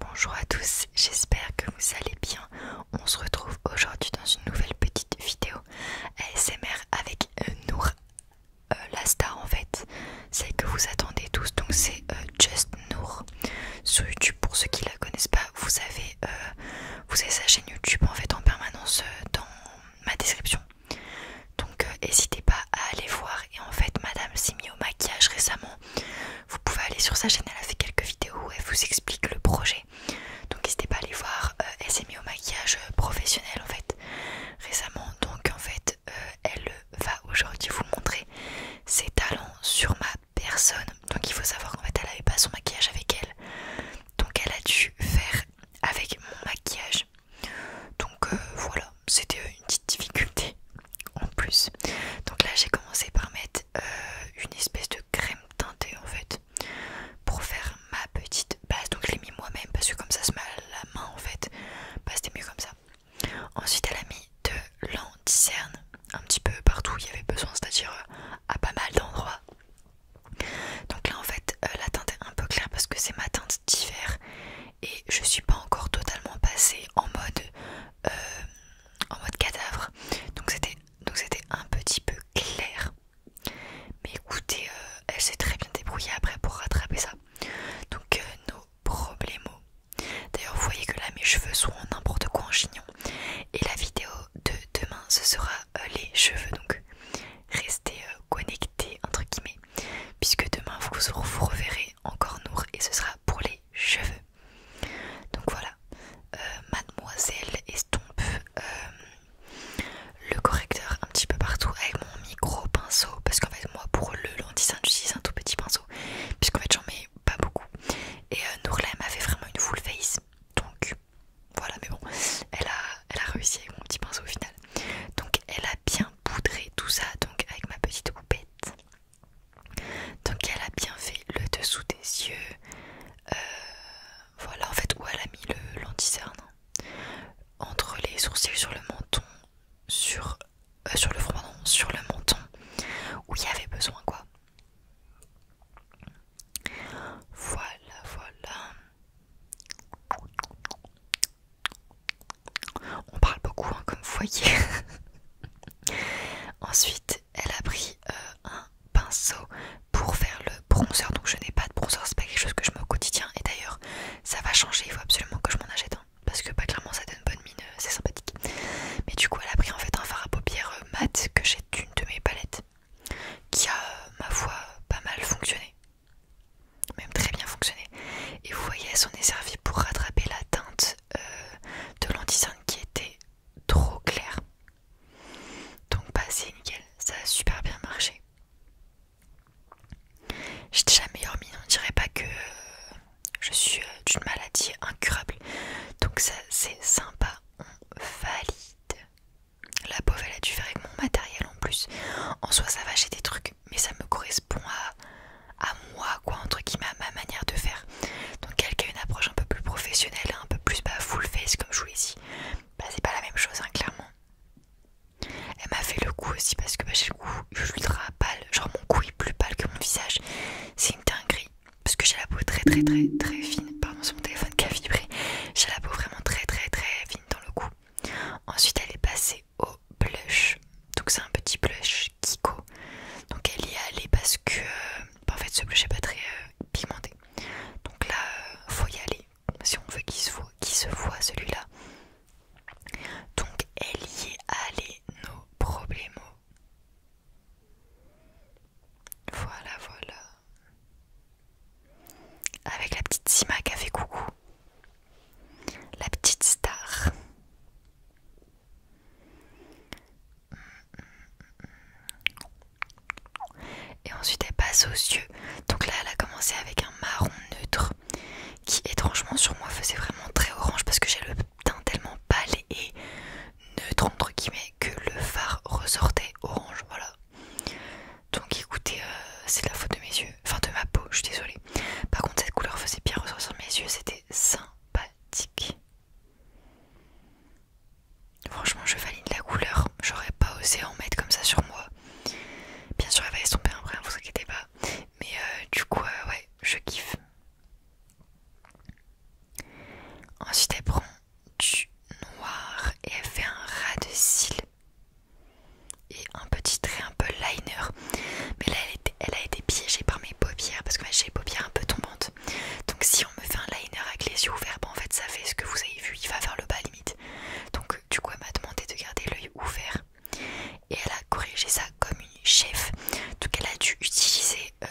Bonjour à tous, j'espère que vous allez bien. On se retrouve aujourd'hui dans une nouvelle petite vidéo ASMR avec Noor, euh, Nour, euh, la star en fait, celle que vous attendez tous, donc c'est euh, Just Nour sur YouTube. Pour ceux qui la connaissent pas, vous avez, vous sa chaîne YouTube en permanence dans ma description. Donc euh, n'hésitez pas à aller voir et en fait Madame s'est mise au maquillage récemment. Vous pouvez aller sur sa chaîne, elle a fait quelques vidéos où elle vous explique le projet. Donc n'hésitez pas à aller voir, euh, elle s'est mise au maquillage euh, professionnel en fait récemment. Donc en fait elle va aujourd'hui vous montrer ses talents sur ma personne. Donc il faut savoir qu'en fait elle n'avait pas son maquillage avec elle. Donc elle a dû faire avec mon maquillage donc euh, voilà, c'était euh, une petite difficulté en plus. Donc là j'ai commencé par mettre euh, une espèce de crème teintée en fait pour faire ma petite base. Donc je l'ai mis moi-même parce que comme ça se met la main en fait, bah, c'était mieux comme ça. Ensuite elle a mis de l'anticerne un petit peu partout où il y avait besoin, c'est-à-dire à pas mal d'endroits. Donc là en fait euh, la teinte est un peu claire parce que c'est ma teinte d'hiver et je suis pas encore totalement passée en mode euh, en mode cadavre. Donc c'était un petit peu clair. Mais écoutez, euh, elle s'est très bien débrouillée après pour rattraper ça. Donc nos problèmes. D'ailleurs vous voyez que là mes cheveux sont n'importe quoi en chignon. Et la vidéo de demain ce sera euh, les cheveux donc restez euh, connectés entre guillemets puisque demain vous, vous reverrez encore Nour et ce sera pour les cheveux donc voilà euh, mademoiselle estompe le correcteur un petit peu partout avec mon micro pinceau parce qu'en fait moi pour le lenticin j'utilise un tout petit pinceau puisqu'en fait j'en mets pas beaucoup et Nourlem Nour fait vraiment une full face donc voilà, mais bon, elle a, réussi avec mon petit pinceau au final. Donc, elle a bien poudré tout ça, donc avec ma petite poupette Donc, elle a bien fait le dessous des yeux. Euh, voilà, en fait, où elle a mis l'anticerne. Hein. Entre les sourcils, sur le menton, sur, euh, sur le front, non, sur le menton, où il y avait besoin, quoi. Voilà, voilà. On parle beaucoup, hein, comme foyer Ensuite, elle a pris euh, un pinceau pour faire le bronzer. Donc, je n'ai pas de bronzer, c'est pas quelque chose que je mets au quotidien. Et d'ailleurs, ça va changer. Il faut absolument que je m'en achète un parce que, pas bah, clairement, ça donne bonne mine. Euh, c'est sympathique. Mais du coup, elle a pris en fait un fard à paupières euh, mat que j'ai d'une de mes palettes qui a, ma voix pas mal fonctionné, même très bien fonctionné. Et vous voyez, elle s'en est servi pour rattraper la teinte euh, de lentille qui était trop claire. Donc, pas bah, c'est nickel, ça a super bien marché. J'ai déjà meilleure mine, on dirait pas que euh, je suis euh, d'une maladie incurable. Donc ça c'est sympa, on valide. La pauvre elle a dû faire avec mon matériel en plus. En soi ça va j'ai des trucs mais ça me correspond à, à moi quoi entre truc à ma manière de faire. Donc quelqu'un a une approche un peu plus professionnelle, un peu plus bah, full face comme je vous ici. Bah c'est pas la même chose hein, clairement. Elle m'a fait le coup aussi parce que bah, j'ai le cou ultra pâle, genre mon cou est plus pâle que mon visage. C'est une dinguerie parce que j'ai la peau très très très très fine sur mon téléphone qui a vibré. J'ai la peau vraiment très très très fine dans le cou. Ensuite elle est passée au blush. Donc c'est un petit blush Kiko. Donc elle y est allée parce que euh, bah, en fait ce blush est pas très euh, pigmenté. Donc là euh, faut y aller si on veut qu'il se voit, se voit celui-là. Donc elle y est allée nos problèmes. Voilà, voilà. Avec la petite Sima qui a fait coucou. La petite star. Et ensuite elle passe aux yeux. Donc là elle a commencé avec un marron neutre qui étrangement sur moi faisait vraiment très orange parce que j'ai le teint tellement pâle et neutre entre guillemets que le phare ressortait orange, voilà. Donc écoutez, euh, c'est la faute de mes yeux, enfin de ma peau, je suis désolée. Par contre, cette couleur faisait bien ressortir mes yeux, c'était sympathique. Franchement, je valide la couleur, j'aurais pas osé en mettre comme ça sur moi. Bien sûr, elle va estomper après hein, vous inquiétez pas. Mais euh, du coup, euh, ouais, je kiffe. Ensuite, elle prend du noir et elle fait un ras de cils et un petit trait un peu liner mais là elle, a été piégée par mes paupières parce que j'ai les paupières un peu tombantes donc si on me fait un liner avec les yeux ouverts bah en fait ça fait ce que vous avez vu il va vers le bas limite donc du coup elle m'a demandé de garder l'œil ouvert et elle a corrigé ça comme une chef donc elle a dû utiliser euh,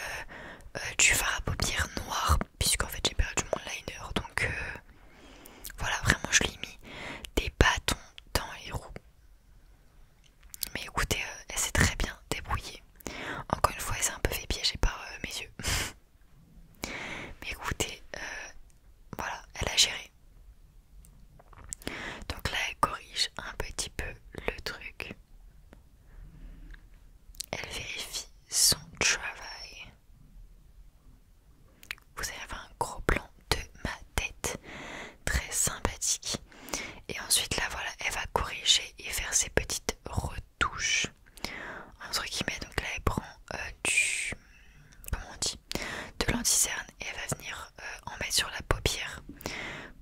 euh, du fard à paupières noir puisqu'en fait j'ai perdu mon liner donc euh, voilà vraiment je lui ai mis des bâtons dans les roues mais écoutez euh, elle s'est très bien débrouillée encore une fois elle s'est un peu fait piéger par euh, mes yeux mais écoutez voilà elle a géré donc là elle corrige un petit peu le truc elle vérifie son travail. Vous allez avoir un gros plan de ma tête, très sympathique. Et ensuite, là voilà, elle va corriger et faire ses petites retouches. Entre guillemets, donc là elle prend euh, du. Comment on dit De l'anticerne et elle va venir euh, en mettre sur la paupière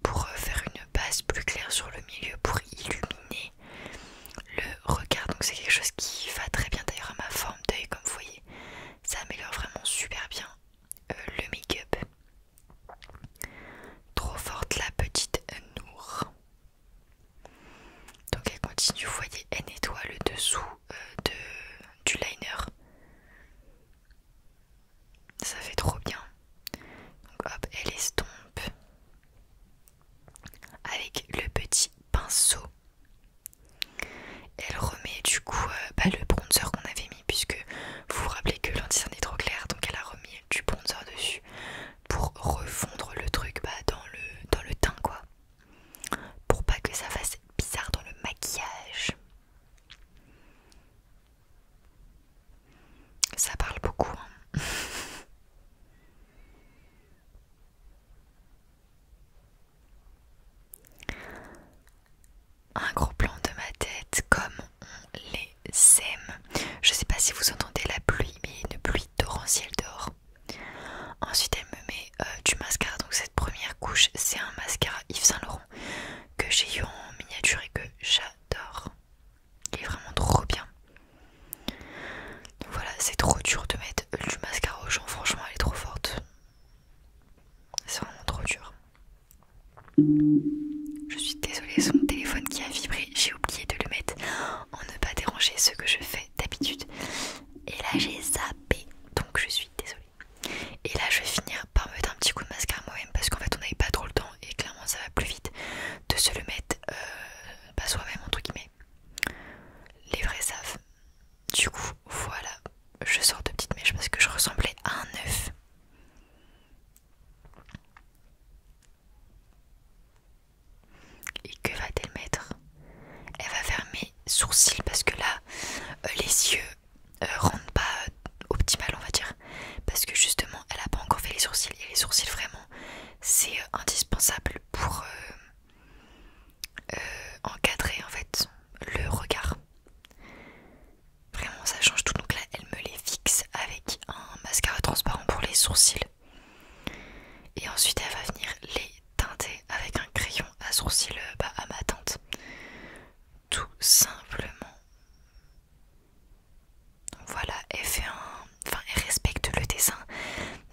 pour euh, faire une base plus claire sur le milieu pour illuminer le regard, donc c'est quelque chose qui va très bien d'ailleurs à ma forme d'œil, comme vous voyez, ça améliore vraiment super bien euh, le make-up. Trop forte la petite Nour. Donc elle continue, vous voyez, elle nettoie le dessous euh, du liner. Ça fait trop bien. Donc hop, elle estompe avec le petit pinceau. Elle remet du coup euh, bah, le bronzer qu'on avait mis puisque vous vous rappelez que l'anticien est trop clair donc elle a remis du bronzer dessus pour refondre le truc bah, dans, le, dans le teint quoi. Pour pas que ça fasse bizarre dans le maquillage. Ça parle beaucoup. Hein. Un gros plan de ma tête comme on les aime Je sais pas si vous entendez la pluie, mais une pluie torrentielle d'or Ensuite, elle me met euh, du mascara. Donc, cette première couche, c'est un mascara Yves Saint Laurent que j'ai eu en miniature et que j'adore. Il est vraiment trop bien. voilà, c'est trop dur de mettre du mascara aux gens. Franchement, elle est trop forte. C'est vraiment trop dur. Je suis désolée, son téléphone qui a vibré. J'ai oublié de le mettre en ne pas déranger ce que je fais d'habitude. Et là, j'ai zappé. Donc je suis désolée. Et là, je vais finir par mettre un petit coup de mascara moi-même parce qu'en fait, on n'avait pas trop le temps et clairement ça va plus vite de se le mettre pas euh, bah, soi-même entre guillemets. Les vrais savent. Du coup, voilà, je sors de petite mèche parce que je ressemblais à un œuf. Et que va-t-elle mettre Elle va fermer sourcils parce que là, euh, les yeux euh, rendent rentrent pas optimale on va dire parce que justement elle a pas encore fait les sourcils et les sourcils vraiment c'est euh, indispensable pour euh, euh, encadrer en fait le regard vraiment ça change tout donc là elle me les fixe avec un mascara transparent pour les sourcils et ensuite elle va venir les teinter avec un crayon à sourcils bah, à ma teinte tout simplement voilà, elle fait un. Enfin, elle respecte le dessin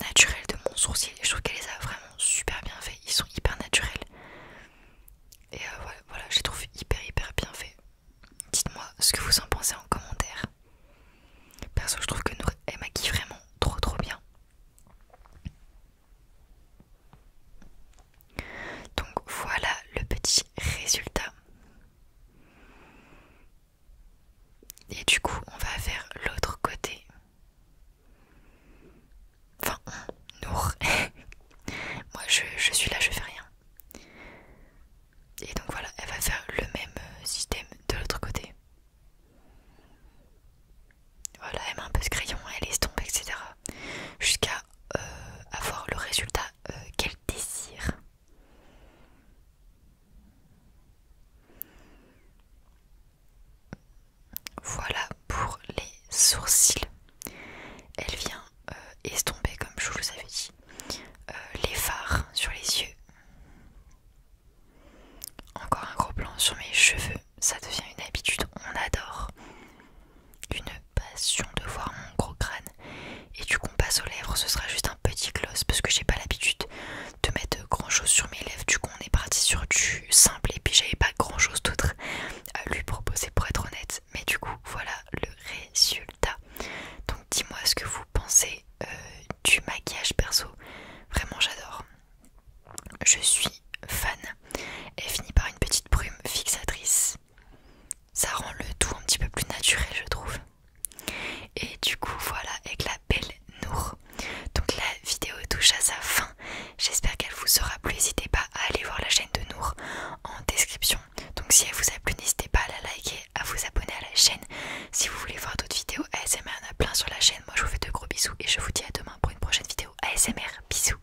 naturel de mon sourcil. je trouve qu'elle les a vraiment super bien fait. Ils sont hyper naturels. Et euh, voilà, voilà, je les trouve hyper hyper bien faits. Dites-moi ce que vous en pensez en commentaire. Perso, je trouve que elle maquille vraiment trop trop bien. Donc voilà le petit résultat. Et du coup, on va faire l'autre côté. Enfin, nous. Moi, je, suis là, je fais rien. Et donc voilà, elle va faire le même système de l'autre côté. Voilà, elle met un peu ce crayon, elle estompe, etc. Jusqu'à euh, avoir le résultat euh, quel désir Voilà pour les sourcils. Elle vient euh, estomper, comme je vous avais dit, euh, les fards sur les yeux. Encore un gros plan sur mes cheveux. Ça devient une habitude, on adore une passion de voir mon gros crâne et du coup passe aux lèvres ce sera juste un petit gloss parce que j'ai pas l'habitude de mettre grand chose sur mes lèvres du coup on est parti sur du simple et puis j'avais pas grand chose d'autre à lui proposer pour être honnête mais du coup voilà le résultat donc dis-moi ce que vous pensez euh, du maquillage perso vraiment j'adore je suis fan Et finit par une petite brume fixatrice ça rend le tout un petit peu plus naturel je trouve et du coup voilà avec la belle Nour donc la vidéo touche à sa fin j'espère qu'elle vous sera plu n'hésitez pas à aller voir la chaîne de Nour en description donc si elle vous a plu n'hésitez pas à la liker à vous abonner à la chaîne si vous voulez voir d'autres vidéos ASMR il y en a plein sur la chaîne moi je vous fais de gros bisous et je vous dis à demain pour une prochaine vidéo ASMR bisous